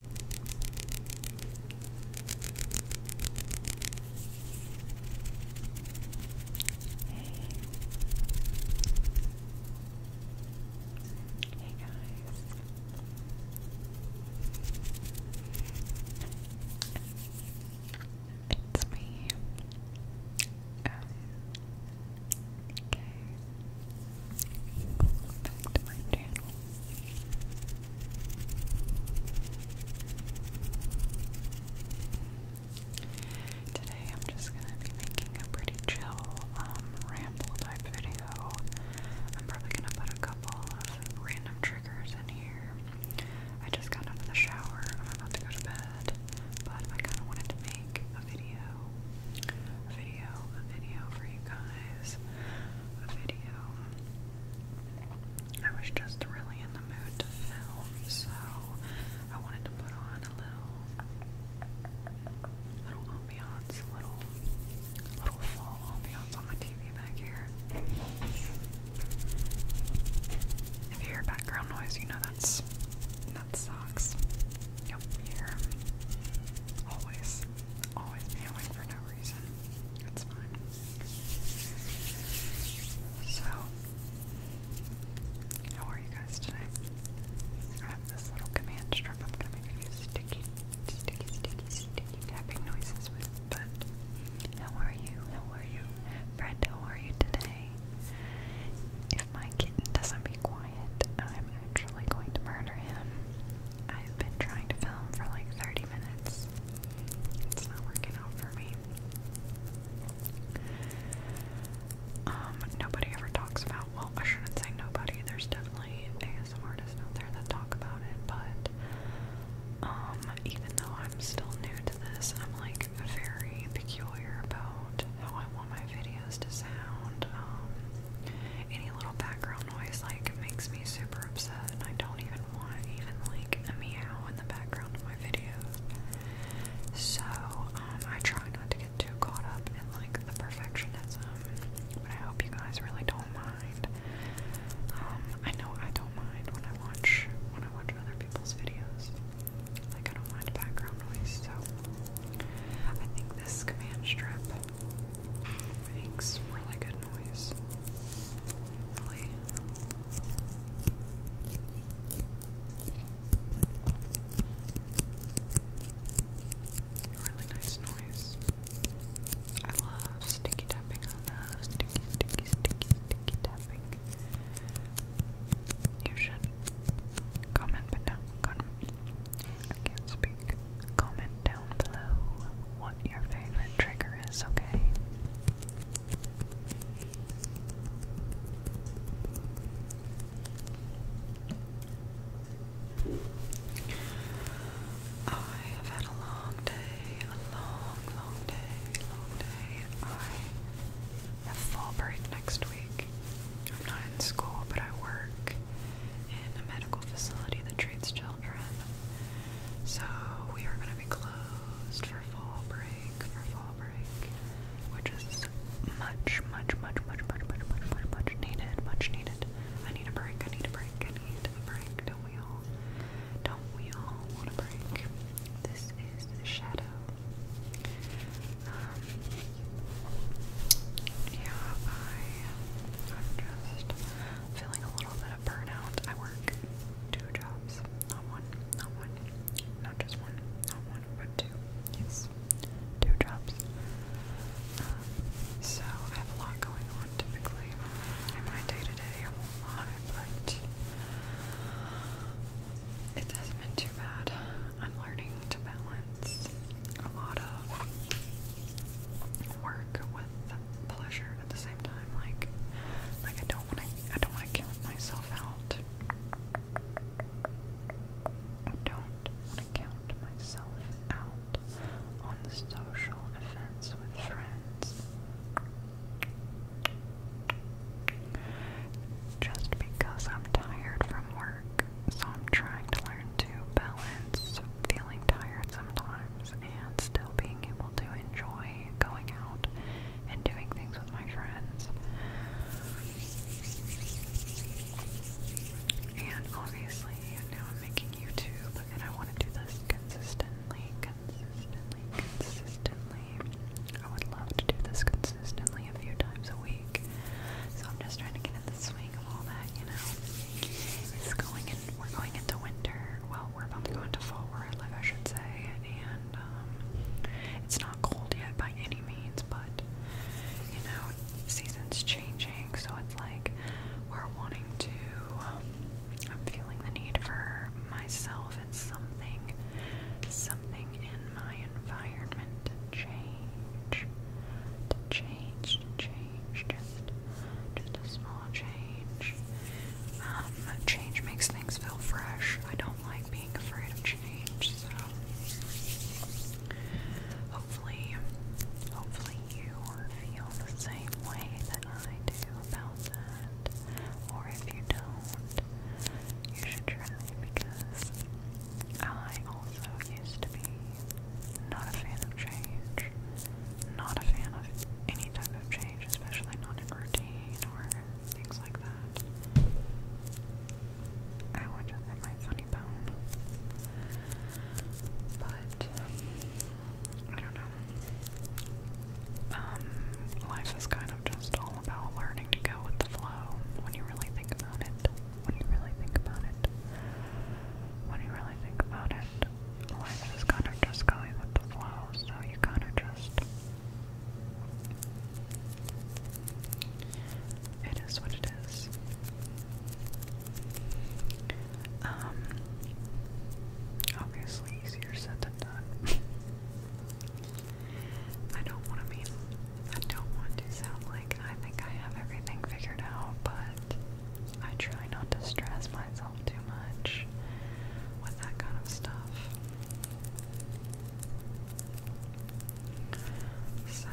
Hey guys. It's me. Um, okay. Today I'm just gonna be making a pretty chill, um, ramble type video. I'm probably gonna put a couple of random triggers in here. I just got out of the shower. I'm about to go to bed, but I kind of wanted to make a video, video, a video for you guys a video. I was just really in the mood to film, so I wanted to put on a little, little ambiance, little, little fall ambiance on the TV back here. If you hear background noise, you know that's that sucks. Yep, here, always always be away for no reason. It's fine. So, how are you guys today? I have this little command strip I'm going to make a few sticky, sticky, sticky, sticky tapping noises with, but how are you? How are you? Fred, how are you today? If my kitten doesn't be quiet, I'm actually going to murder him. I've been trying to film for like 30 minutes. It's not working out for me. Um, nobody ever talks about, well, I shouldn't say nobody. There's definitely ASM artists out there that talk about it, but um, even though I'm still new to this, I'm like very peculiar about how I want my videos to sound. Um, any little background noise like makes me super upset and I don't even want even like a meow in the background of my videos. So um, I try not to get too caught up in like the perfectionism, but I hope you guys really don't mind. Um, I know I don't mind when I watch when I watch other people's videos. Like I don't mind background noise, so I think this command strip makes really good noise. Really. nice noise. I love sticky tapping on those. Sticky, sticky, sticky, sticky tapping. You should comment, but I can't speak. Comment down below what your favorite trigger is, okay? I have had a long day, a long, long day, long day. I have fall break next week. I'm not in school, but I work in a medical facility that treats children children. So we are going to be closed for fall break, for fall break, which is much, much, much, much, much, much, much, much, much needed, much needed. I need a break, I need a break, I need a break. Don't we all? Don't we all want a break? This is the shadow. Um, yeah, I, I'm just feeling a little bit of burnout. I work two jobs, not one, not one, not just one, not one, but two. Yes, two jobs. Um, so I have a lot going on typically in my day to day. I won't lie, but it hasn't been too bad. I'm learning to balance a lot of work with pleasure at the same time. Like, like I don't want to, I don't want to count myself out. I don't want to count myself out on the social events with friends. Just because I'm tired from work, so I'm trying to learn to balance feeling tired sometimes and still being able to enjoy going out and doing things with my friends. And obviously, now I'm making YouTube and I want to do this consistently, consistently, consistently. I would love to do this consistently a few times a week. So I'm just trying to get in the swing of all that, you know. It's going in, we're going into winter. Well, we're about to go into fall where I live, I should say. And um, it's not cold yet by any means, but you know, seasons changing, so it's like we're wanting to. Um, I'm feeling the need for myself and something, something in my environment to change, to change, to change, just just a small change. Um, change makes things feel fresh. I don't like being afraid of change, so hopefully, hopefully you feel the same way that I do about that. Or if you don't, you should try because I also used to be not a fan of change change. Not a fan of any type of change, especially not in routine or things like that. I would just hit my funny bone. But, um, I don't know. Um, life is kind of just all about learning to go with the flow when you really think about it. When you really think about it. When you really really think about it, life is kind of just going with the flow, so you kind of just. It is what it is. Um, obviously, easier said than done. I don't want to mean, I don't want to sound like I think I have everything figured out, but I try not to stress myself too much with that kind of stuff. So,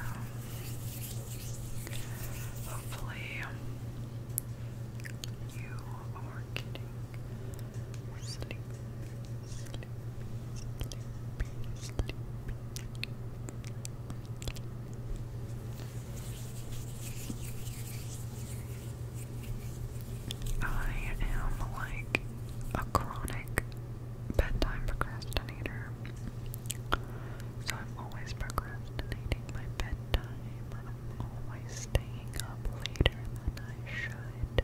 hopefully, you are getting sleepy, I am like a chronic bedtime procrastinator. So I'm always procrastinating my bedtime. I'm always staying up later than I should.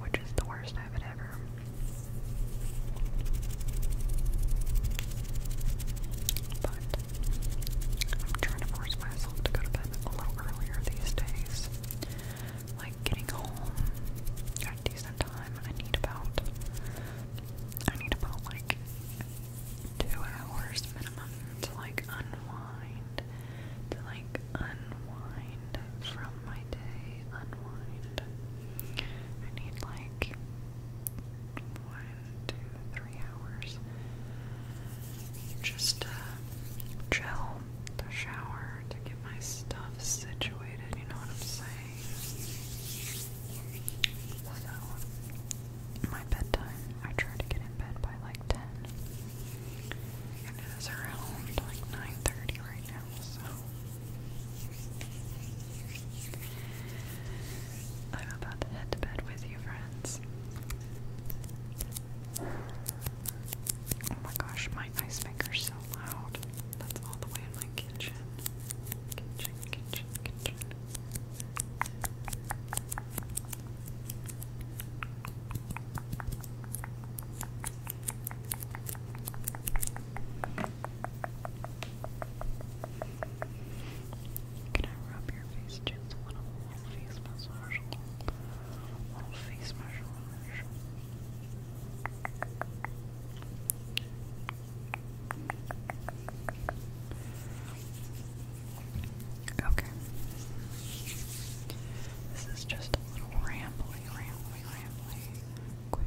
Which is the worst habit ever. But I'm trying to force myself to go to bed a little earlier these days. Like getting home at a decent time, I need about I need about like two hours minimum to like unwind, to like unwind from my day, unwind. I need like what to three hours. Just to uh, chill, shower, to get my stuff situated, you know what I'm saying? So, my bedtime, I try to get in bed by like 10. And it is around like 9.30 right now, so I'm about to head to bed with you, friends. Oh my gosh, my ice maker's so loud. That's all the way in my kitchen. Can I rub your face just a little? Little face massage. Little face massage. Okay. This is just a little rambly, rambly, rambly, quick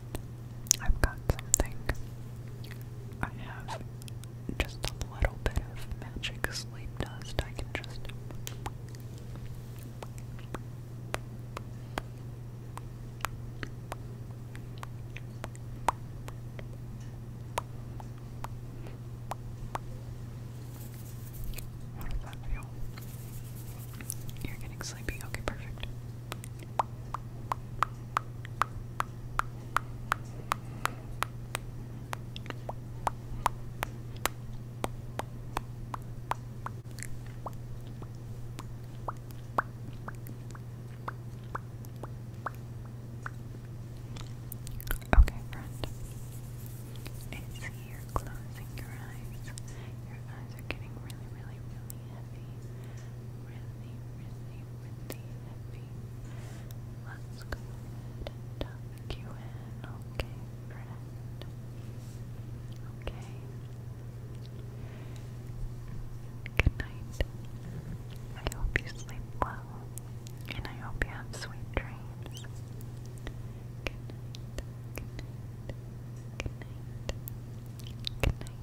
I've got something. I have just a little bit of magic sleep dust. I can just. How does that feel? You're getting sleepy. Okay, perfect. Okay, friend. I see you closing your eyes. Your eyes are getting really, really, really heavy really, really, really heavy. Let's go ahead you in, okay, Okay. Good night. I hope you sleep well, and I hope you have sweet dreams. Good night. Good night. Good night.